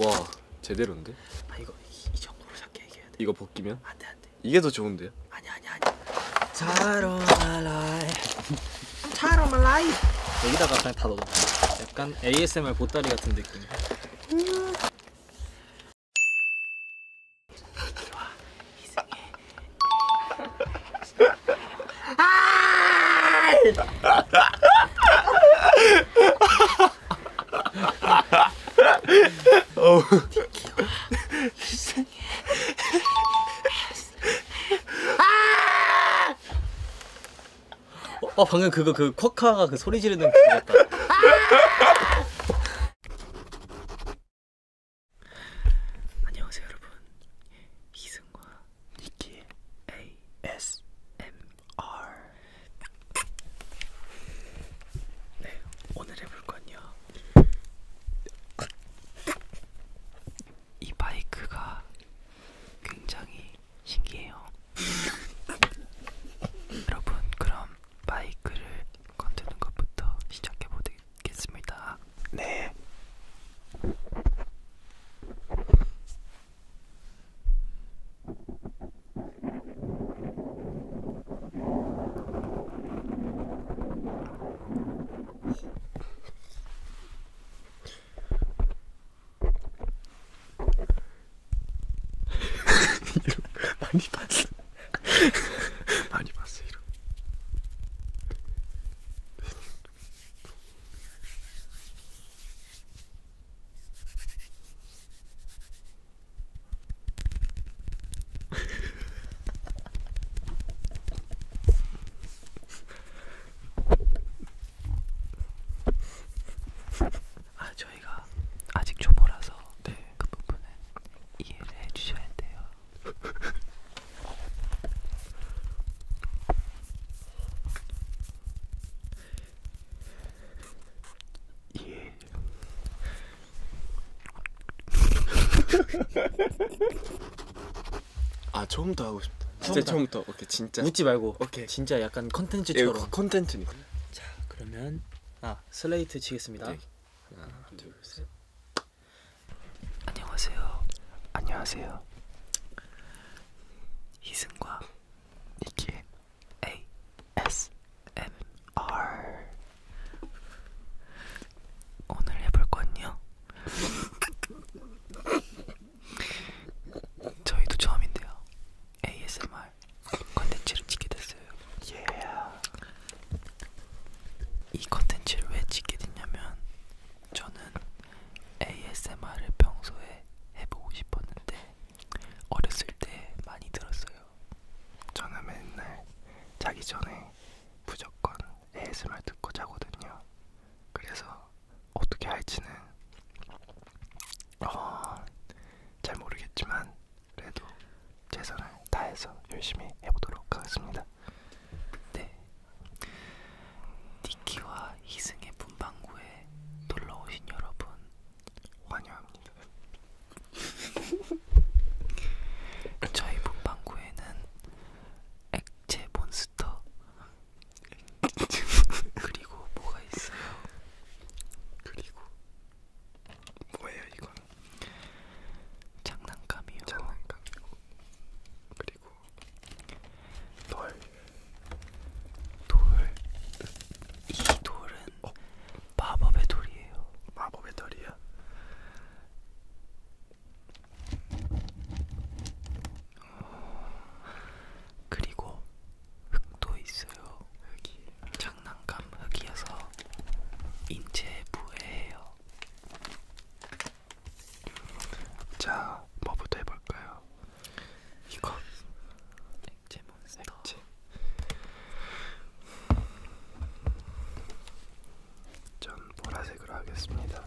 와 제대로인데? 아 이거 이, 이 정도로 작게 얘기해야 돼. 이거 벗기면? 안 돼 안돼. 이게 더 좋은데요? 아니 아니 아니. 차로 말라이. 차로 말라이. 여기다가 그냥 다 넣어. 약간 ASMR 보따리 같은 느낌. 음. 아! 어. 어 방금 그거 그 쿼카가 그 소리 지르는 그거 같다. 안녕하세요 여러분. 이승과 니키 ASMR R 네, 오늘 해볼 건요. 이 바이크가 굉장히 신기해요. 여러분, 그럼 바이크를 건드는 것부터 시작해 보겠습니다. 네. 많이 봤어 많이 봤어 이런 아 저희가 아직 초보라서 네. 그 부분은 이해를 해주셔야 돼요. 예. 아 처음부터 하고 싶다. 진짜 처음부터. 오케이 진짜. 웃지 말고. 오케이. 진짜 약간 예, 컨텐츠처럼. 예, 컨텐츠니까. 자 그러면 아 슬레이트 치겠습니다. 네. 하나 둘 셋. 안녕하세요. 안녕하세요. 이승과 이게 ASMR 오늘 해볼 건요. 저희도 처음인데요. ASMR 컨텐츠를 찍게 됐어요. 예. Yeah. 이 컨텐츠를 왜 찍게 됐냐면 저는 ASMR을 평소에 해보고 싶었는데 어렸을 때 많이 들었어요. 저는 맨날 자기 전에 무조건 ASMR 듣고 자거든요. 그래서 어떻게 할지는 어, 잘 모르겠지만 그래도 최선을 다해서 열심히 해보도록 하겠습니다. 네. 니키와 이승의 분방구에 놀러 오신 여러분 환영합니다. 저희 분방구에는 액체 몬스터 그리고 뭐가 있어요? 그리고 뭐예요 이건? 장난감이요. 장난감이고 그리고 그리고 돌, 돌, 이 돌은 어? 마법의 돌이에요. 마법의 돌이야? 어, 그리고 흙도 있어요. 흙이 장난감 흙이어서 인체에 부해해요. 자, 뭐부터 해볼까요? 이거 액체 몬스터. 액체. 전 보라색으로 하겠습니다. 오.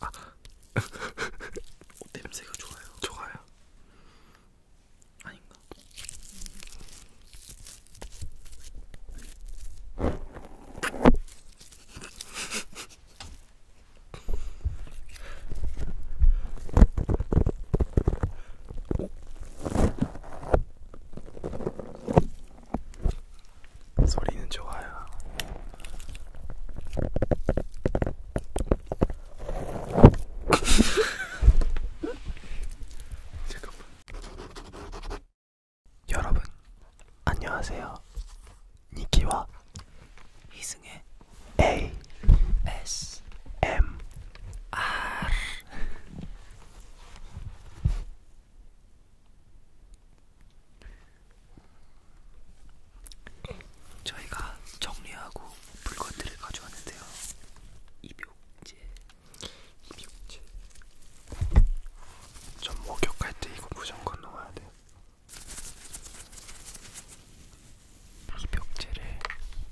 아. 어, 냄새가 좋아요. 좋아요. 아닌가? 소리는 좋아요. 잠깐만. 여러분, 안녕하세요. 니키와 이승의 A S M R 저희가 정리하고 물건들을 가져왔는데요. 입욕제, 입욕제. 전 목욕할 때 이거 무조건 놓아야 돼. 입욕제를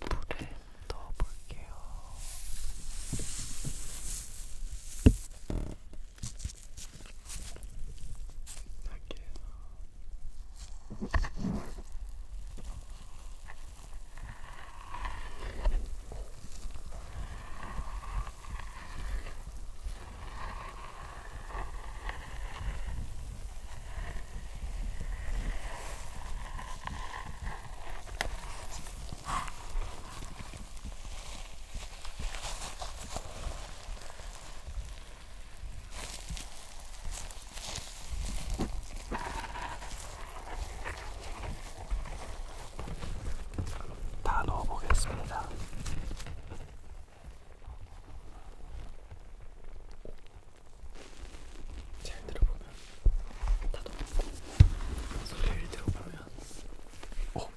물에 넣어볼게요. 할게요. 아, 다 넣어보겠습니다. 잘 들어보면 다 녹고 소리를 들어보면 어?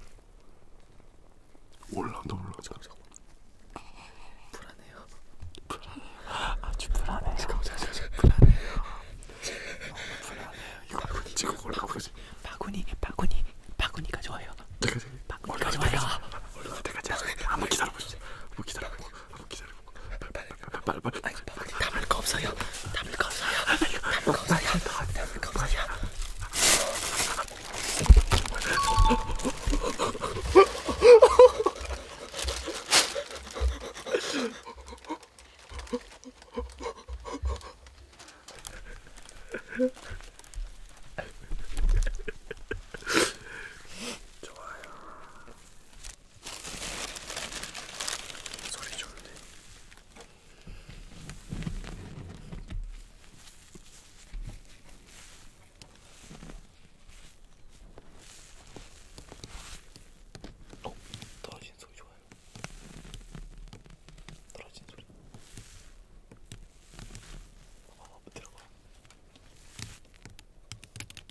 올라온다 올라온다 잠깐만 불안해요 불안해요 아주 불안해요 잠깐만 잠깐만 불안해요 너무 불안해요 이거 바구니 지금 올라오지 바구니 바구니 바구니가 좋아요 바구니가 좋아요 올라가자 올라가자 한번 기다려보시죠 한번 기다려보시죠 한번 기다려보고 빨리 빨리 빨리 담을 거 없어요 담을 거 없어요 아, 담을 거 없어요 아, 아, 담을 거 없어요 좋아요. 소리 좋은데. 어, 떨어진 소리 좋아요. 떨어진 소리. 어, 들어가.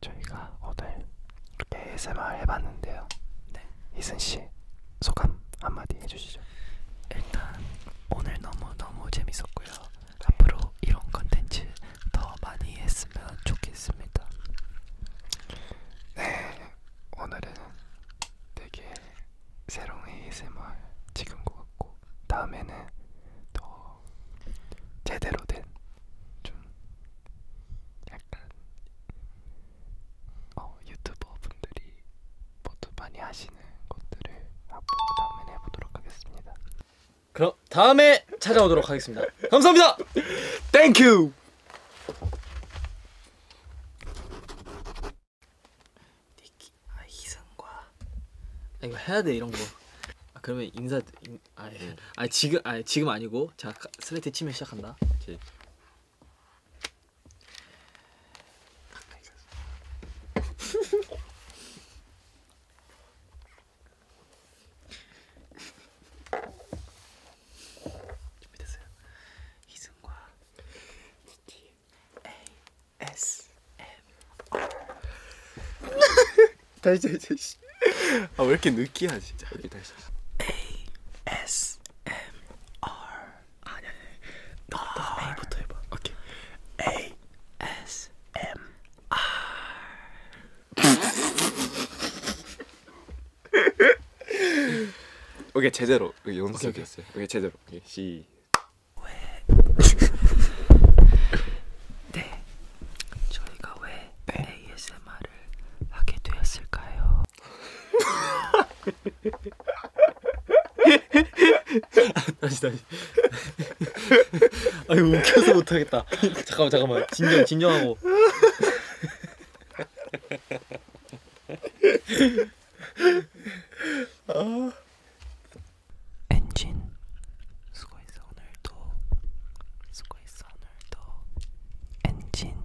저희가 오늘 ASMR 해봤는데요. 네. 이승 씨 소감 한마디 해주시죠. 일단 오늘 너무 너무 재밌었고요. 앞으로 이런 컨텐츠 더 많이 했으면 좋겠습니다. 네, 오늘은 되게 새로운 ASMR 찍은 것 같고 다음에는 더 제대로 된 좀 약간 어, 유튜버 분들이 모두 많이 하시는 것들을 한번 다음에 해보도록 하겠습니다. 그럼 다음에 찾아오도록 하겠습니다. 감사합니다. 땡큐. 아 희성과 아, 이거 해야 돼 이런 거. 아, 그러면 인사 인, 아, 예. 아 지금 아 지금 아니고 자 슬레이트 치면 시작한다. 오케이. 준비됐어요? 이승과 T A S M R 다시 다시 아왜 이렇게 느끼야 진짜 여기 다시 A S M R 아니 아니 너부터 아, A부터 해봐 오케이 아. A S M R 오케이 제대로 연습이었어요. 오케이 제대로. 오케이 시. 네, 저희가 왜 네. ASMR을 하게 되었을까요? 다시 다시. 아유 웃겨서 못하겠다. 잠깐만 잠깐만 진정 진정하고. 아. 엔진 수고했어 오늘도 수고했어 오늘도 엔진